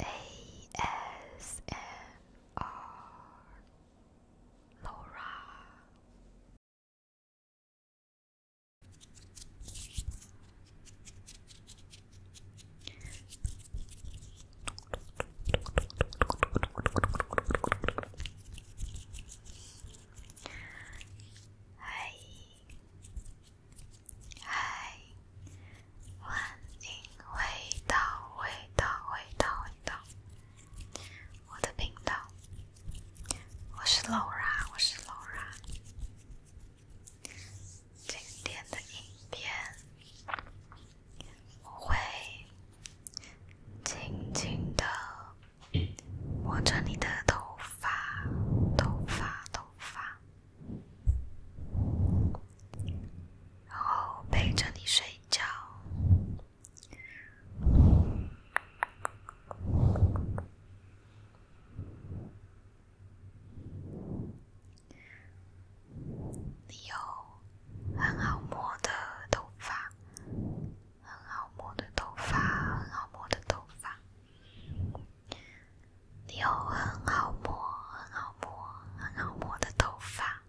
A S N R. Laura Hi 嗨，欢迎回到味道味道味道。我的频道，我是 Laura，我是 Laura。今天的影片，我会轻轻的摸着你的头发，头发头发。然后陪着你睡觉。你有很好摸的头发，很好摸的头发，很好摸的头发。你有很好摸、很好摸、很好摸的头发，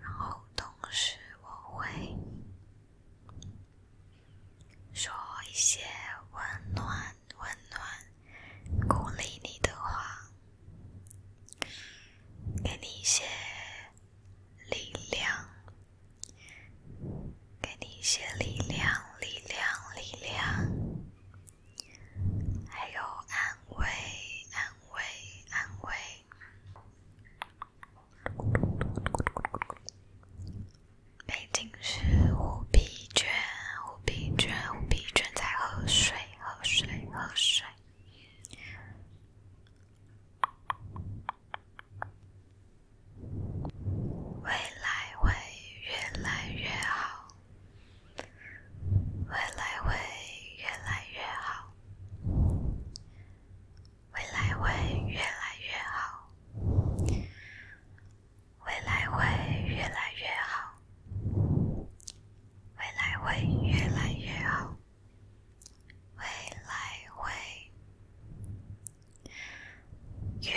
然后同时我会说一些温暖、温暖、鼓励你的话，给你一些力量。给你一些力量，力量，力量，还有安慰，安慰，安慰。背景是虎皮卷，虎皮卷，虎皮卷在喝水，喝水，喝水。未来会越来越好，未来会越来越好，未来会越来越好，未来会越来越好，未来会越来越好，未来会。越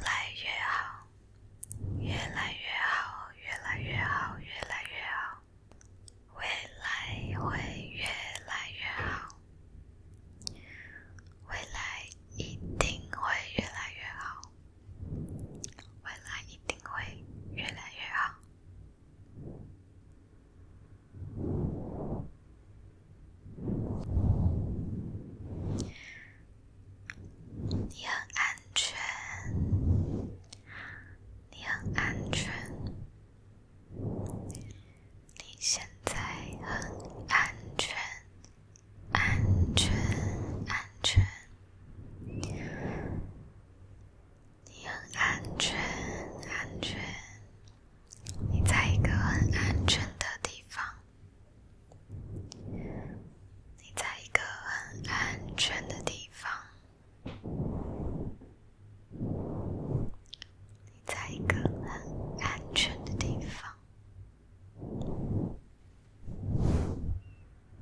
来越好，越来越好，越来越好，越来越好，未来会越来越好，未来一定会越来越好，未来一定会越来越好。你很安全，你很安全，你现在很安全，安全，安全，你很安全，安全。你在一个很安全的地方。你在一个很安全的地方。你在一个很安全的地方。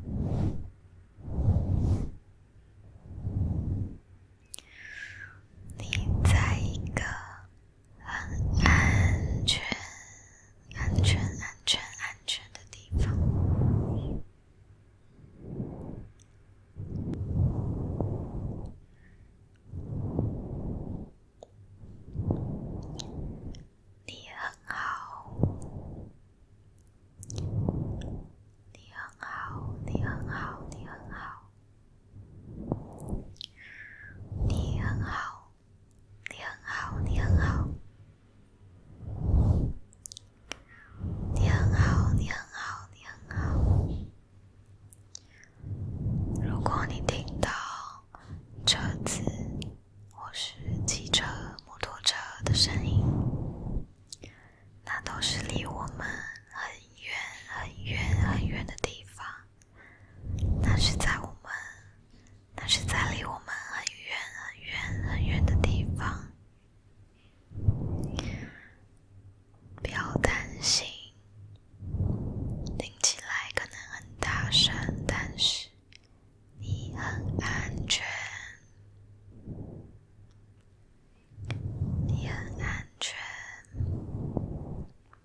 你在一个。很安全，安全，安全，安全的地方。你很好，你很好，你很好，你很好。你很好，你很好，你很好，你很好，你很好，你很好。如果你听到车子或是汽车、摩托车的声音，那都是离我们很远、很远、很远的地方。那是在我们，那是在离我们很远很远很远的地方。不要担心，听起来可能很大声，但是你很安全，你很安全。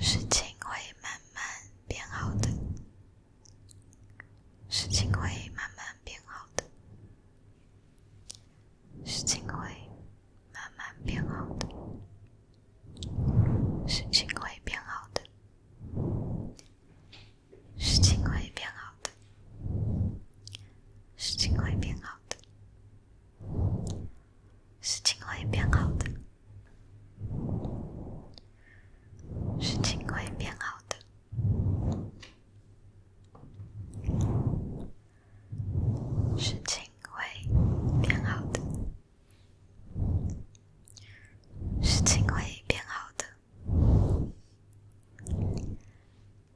事情会慢慢变好的，事情会慢慢变好的，事情会慢慢变好的，事情会变好的，事情会变好的，事情会变好的。事情会变好的，事情会变好的，事情会变好的，事情会变好的。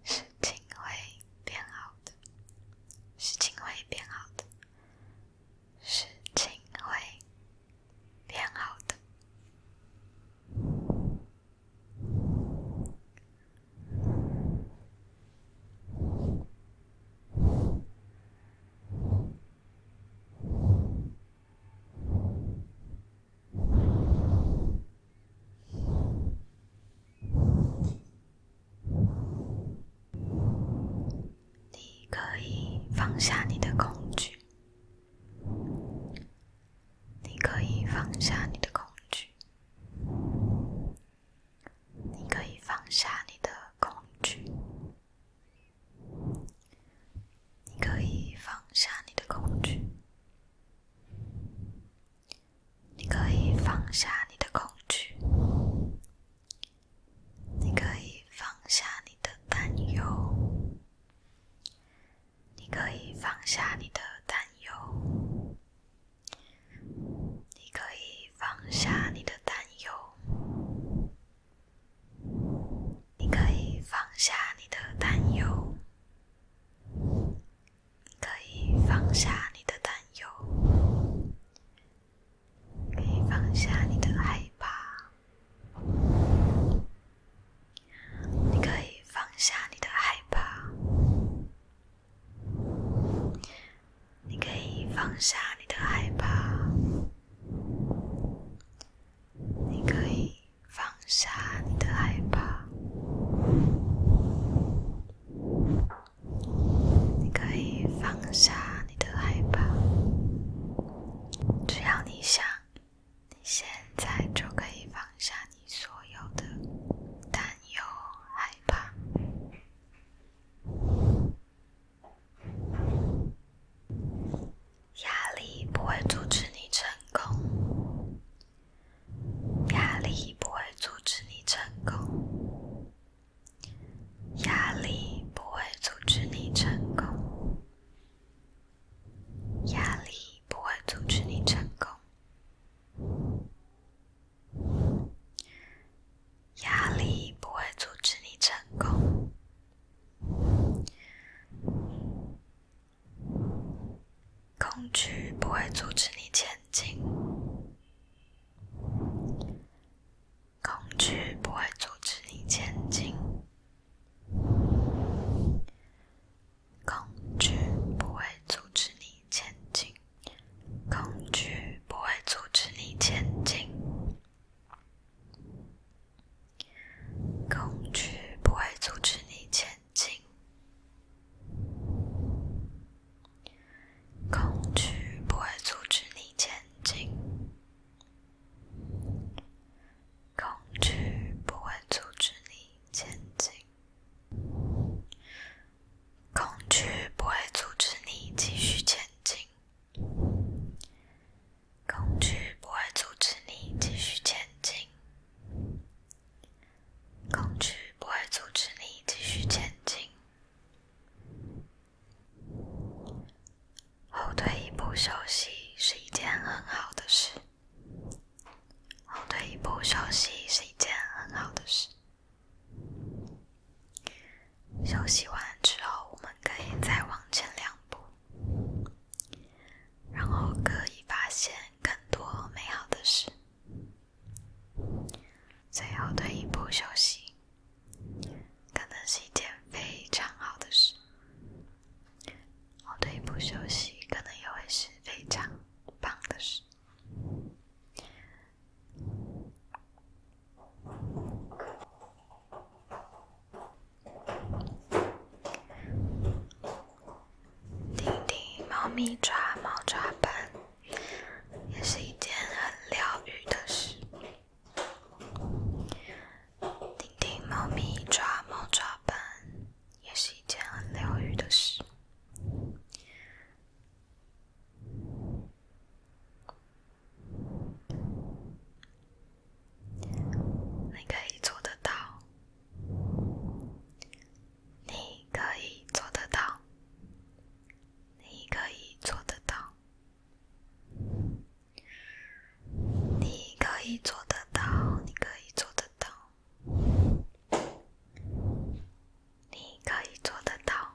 事情会变好的，事情会变好的，事情会变好的。你可以放下你的恐惧。你可以放下你的恐惧。你可以放下你的恐惧。你可以放下你的恐惧。你可以放下你的恐惧，你可以放下你的担忧，你可以放下你的担忧，你可以放下你的担忧，你可以放下你的担忧。可以放下你的担忧，可以放下你的害怕，你可以放下你的害怕，你可以放下你的害怕，你可以放下你的害怕。你可以放下你的害怕，只要你想，你现在就可以放下你所有的担忧、害怕、压力，不会阻止你成功。压力不会阻止你成功，压力不会阻止你成功，压力不会阻止你成功，压力不会阻止你成功，恐惧不会阻止你前进。恐惧不会阻止你前进。恐惧不会阻止你前恐惧不会阻止你前进，恐惧不会阻止你前进，恐惧不会阻止你继续前进，恐惧不会阻止你继续前进，恐惧不会阻止你继续前进。后退一步休息是一件很好的事。后退一步休息是一件很好的事。休息完之后，我们可以再往前两步，然后可以发现更多美好的事。最后退一步休息，可能是一件非常好的事。后退一步休息，可能也会是非常棒的事。听听《猫咪抓猫抓板》。也是一件很疗愈的事。听听猫咪抓猫抓板，也是一件很疗愈的事。你可以做得到，你可以做得到。你可以做得到，你可以做得到，你可以做得到，你可以做得到，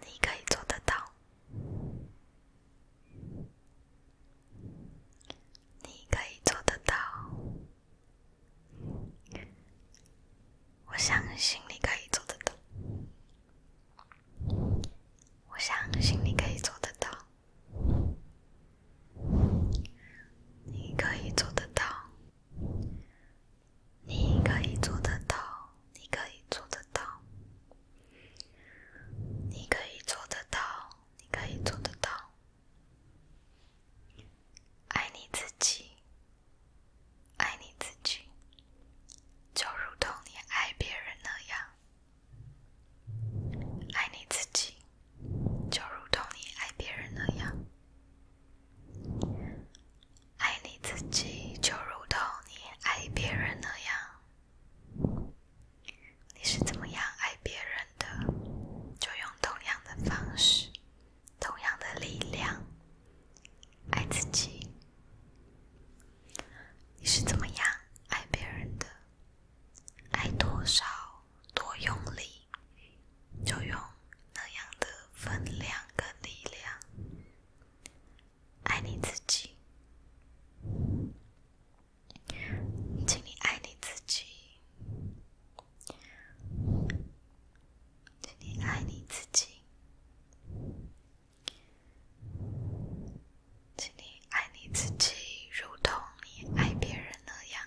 你可以做得到，你可以做得到。我相信你可以做得到。我相信你可以做得到。你可以做得到。你可以做得到。你可以做得到。你可以做得到。你可以做得到。爱你自己，爱你自己，就如同你爱别人那样。爱你自己，就如同你爱别人那样。爱你自己，就如同你爱别人那样。你是怎么样爱别人的，就用同样的方式。同样的力量，爱自己。你是怎么样爱别人的？爱多少，多用力，就用那样的分量跟力量爱你自己。请你爱你自己。请你爱你自己，请你爱你自己，如同你爱别人那样。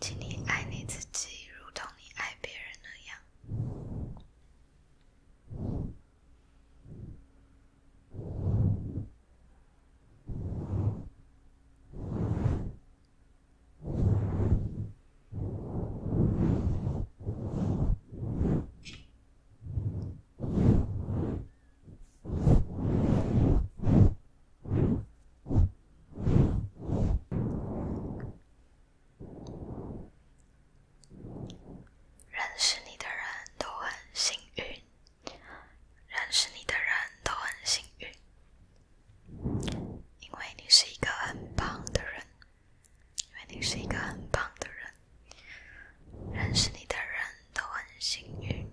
请你爱你自己，如同你爱别人那样。认识你的人都很幸运，认识你的人都很幸运。因为你是一个很棒的人，因为你是一个很棒的人，认识你的人都很幸运，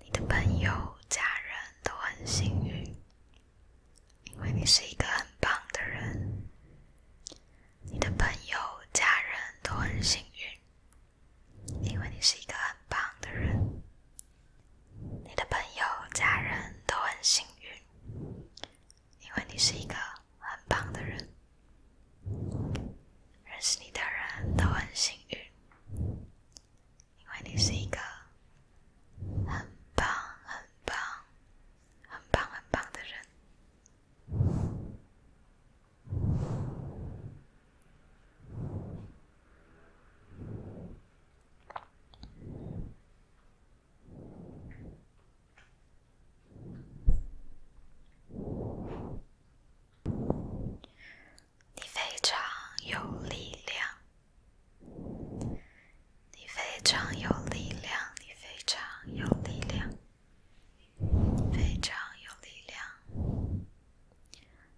你的朋友、家人都很幸运，因为你是一个很棒的人，你的朋友、家人都很幸运，因为你是一个很棒的人。你的朋友、家人都很幸运，因为你是一个很棒的人。认识你的人都很幸运，因为你是一个很棒、很棒、很棒、很棒的人。你非常有力量，你非常有力量，你非常有力量，非常有力量。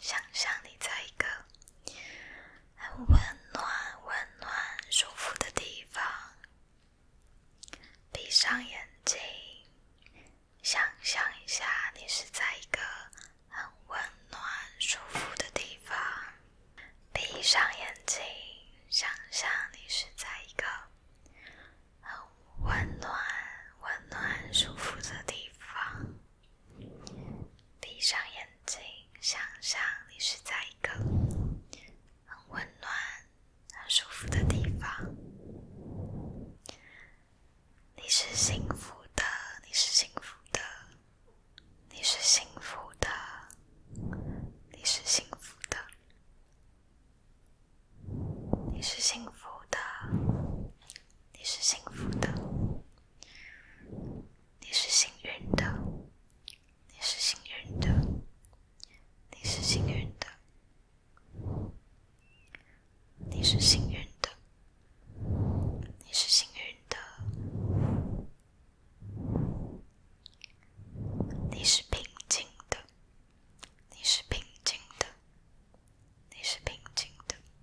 想象你在一个很温暖、温暖、舒服的地方，闭上眼睛，想象一下你是在一个很温暖、舒服的地方。闭上眼睛，想象你是在一个很温暖、温暖、舒服的地方。闭上眼睛，想象你是在一个很温暖、很舒服的地方。你是幸福的，你是幸福的，你是幸福的，你是幸福的，你是幸福的，你是幸福的。你是幸运的，你是幸运的，你是幸运的，你是幸运的，你是幸运的，你是平静的，你是平静的，你是平静的。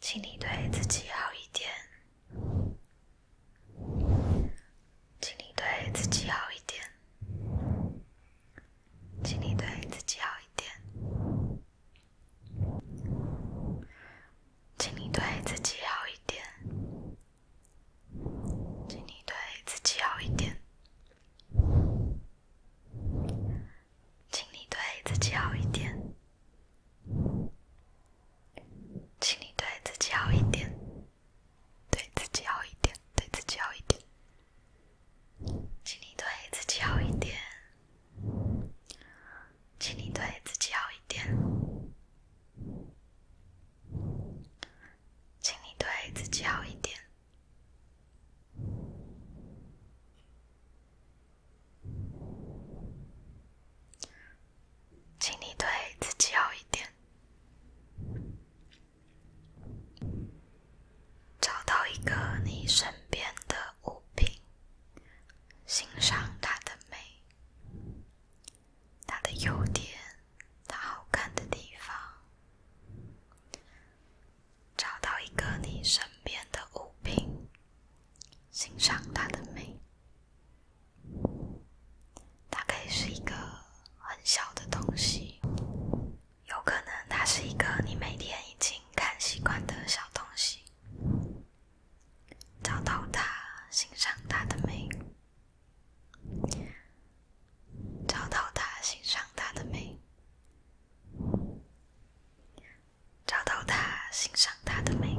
请你对自己好一点，请你对自己好一点，请你对自己好一点，请你对自己好一点。请你对自己好一点。请你对自己好一点。请你对自己好一点。请你对自己好一点。对自己好一点，对自己好一点。请你对自己好一点。请你对自己好一点。请你对自己好一点。请你对自己好一点。找到一个你身边的。物品，欣赏它的美，它的优点，它好看的地方。找到一个你身边的物品，欣赏它的美。它可以是一个很小的东西，有可能它是一个你每天已经看习惯的小东西。找到他，欣赏他的美。找到他，欣赏他的美。找到他，欣赏他的美。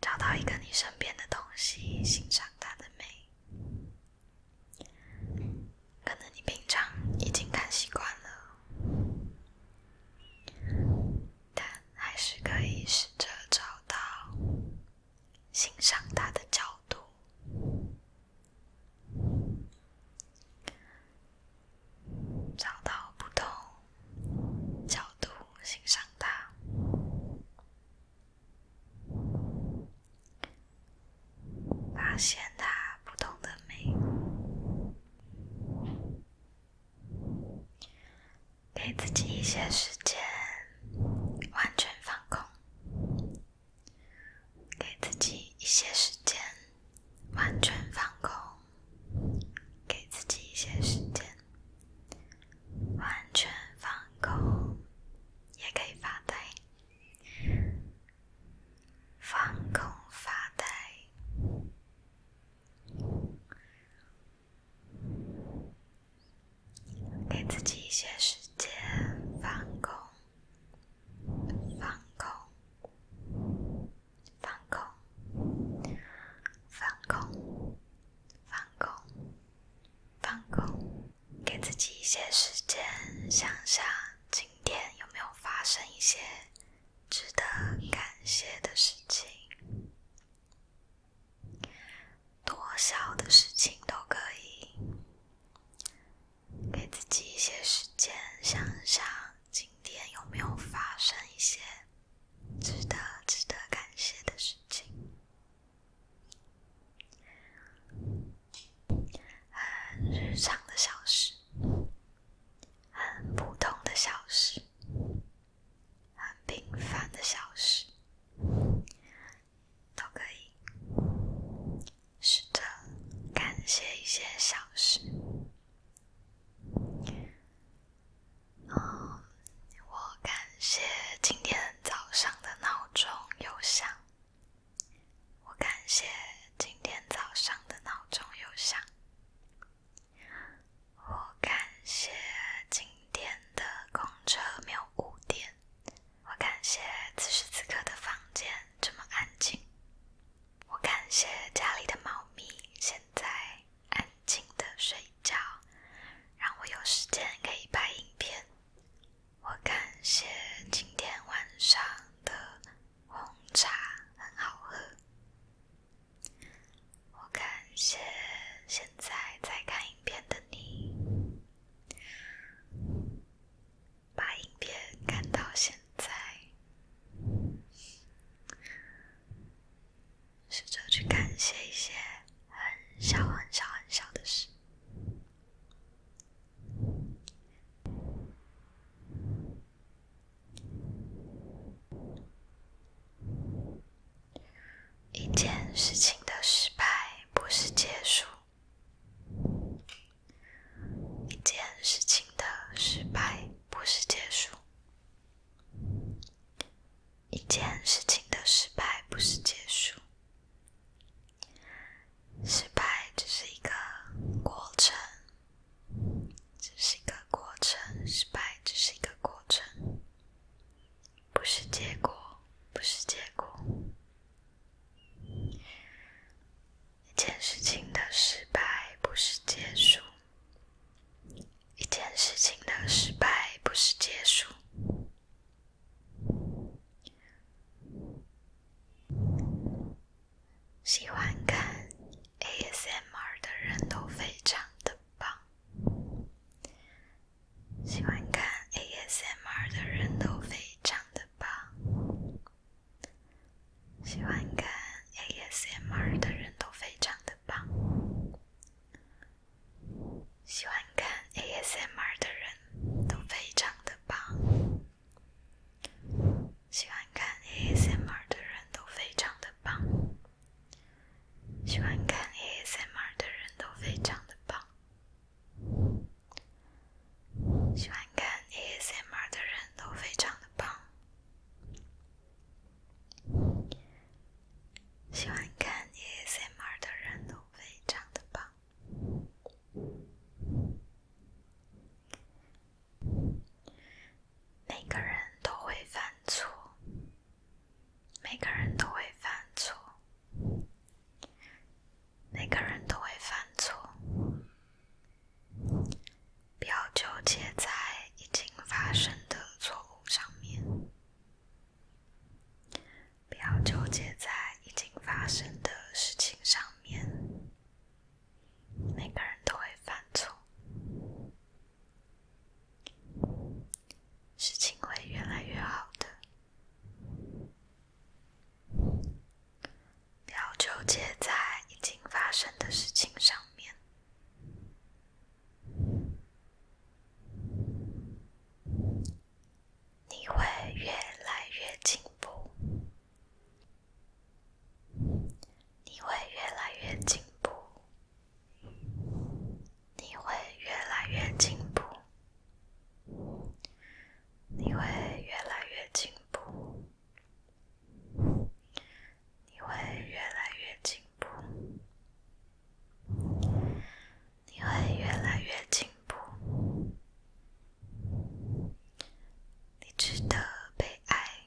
找到一个你身边的东西，欣赏他的美。可能你平常已经看习惯了，但还是可以试着找到欣赏它的角度，找到不同角度欣赏它。发现它不同的美，给自己一些时间，完全放空；给自己一些时间，完全放空；给自己一些时间，完全放空，也可以发呆。放空发呆，给自己一些时间放空，放空，放空，放空，放空，放空，给自己一些时间想想今天有没有发生一些。值得感谢的事情，多少的事情都可以，给自己一些时间，想想今天有没有发生一些值得、值得感谢的事情，很日常的小事。很普通的小事，很平凡的小事，都可以。是的，感谢一些小事。嗯，我感谢今天早上的闹钟又响。我感谢今天早上的闹钟有响。我感谢今天的公车没有误点。我感谢此时此刻的房间这么安静。我感谢家里的猫咪现在安静的睡觉，让我有时间可以拍影片。我感谢今天晚上的。红茶很好喝。我感谢现在在看影片的你，把影片看到现在，试着去感谢一些很小、很小、很小的事。一件事情的失败不是结束。一件事情的失败不是结束。一件事情的失败不是结束。失败只是一个过程。只是一个过程，失败只是一个过程，不是结果，不是结果。一件事情的失败不是结束，一件事情的失败不是结束。喜欢看 ASMR 的人都非常的棒。喜欢看 ASMR 的人都非常的棒。喜欢看 ASMR 的人都非常的棒。喜欢看 ASMR 的人都非常的棒。喜欢看 ASMR 的人都非常的棒。喜欢看 ASMR 的人都非常的棒。喜欢看 ASMR 的人都非常的棒。喜欢看 ASMR 的人都非常的棒。每个人都会犯错，每个人都会犯错，每个人都会犯错。不要纠结在已经发生的错误上面，不要纠结在已经发生的事情上面。每个人都会犯错，事情会越来越好的，不要纠结在已经发生的事情上面，你会越来越进步。你会越来越进步，你会越来越进步，你会越来越进步，你会越来越进步，你会越来越进步，你值得被爱。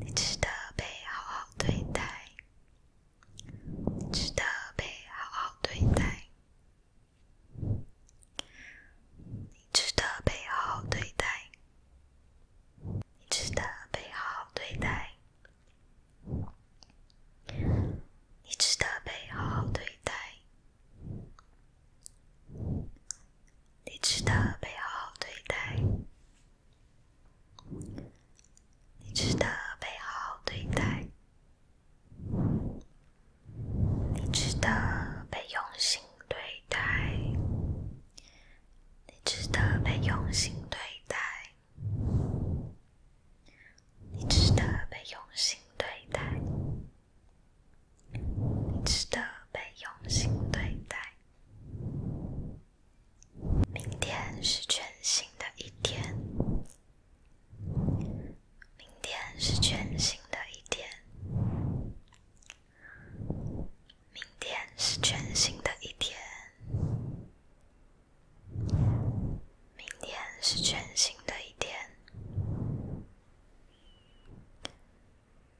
你值得被好好对待。你值得被好好对待。你值得被好好对待。你值得被好好对待。你值得被好好对待。你值得被好好对待，你值得被好好对待，你值得被用心对待，你值得被用心对待，你值得被用心对待。值得被用心对待。明天是全新的一天。明天是全新的一天。明天是全新的一天。明天是全新的一天。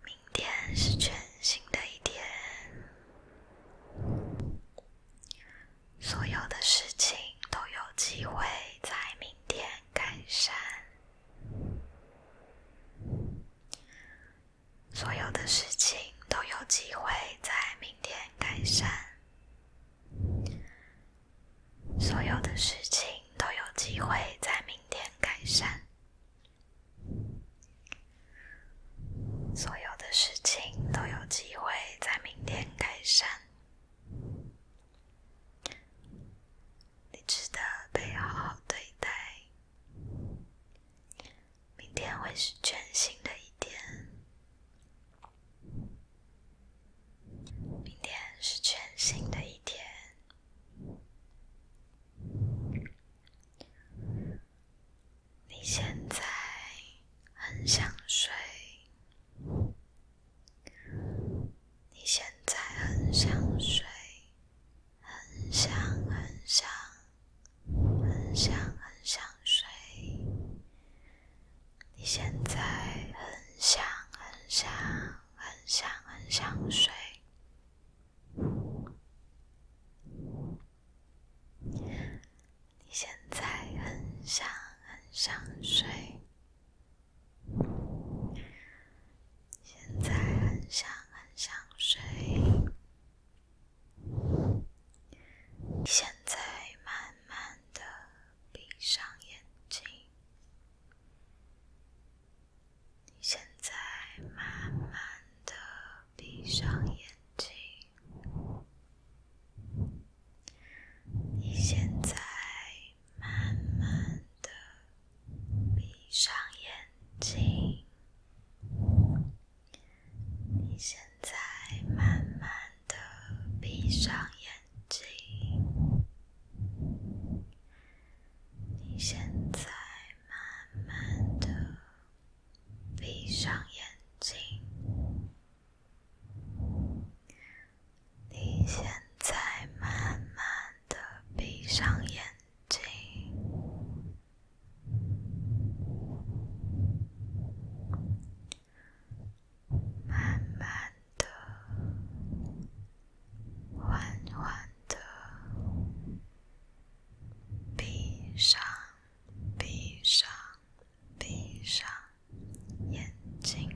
明天是全新的一天，所有的事情都有机会在明天改善。所有的事情都有机会在明天改善。所有的事情都有机会在明天改善。所有的事情都有机会在明天改善。你值得被好好对待。明天会是全新的一天。明天是全新的一天。你现在很想睡，你现在很想睡，很想很想，很想很想睡。你现在很想很想很想很想睡。你现在很想很想睡，现在很想很想睡，你现在慢慢的闭上眼睛。你现在慢慢的闭上眼睛。你现在慢慢的闭上眼睛。你现在慢慢的闭上眼睛。你现在。慢慢的闭上眼睛，你现在慢慢的闭上眼睛，慢慢的。缓缓的闭上、闭上、闭上眼睛。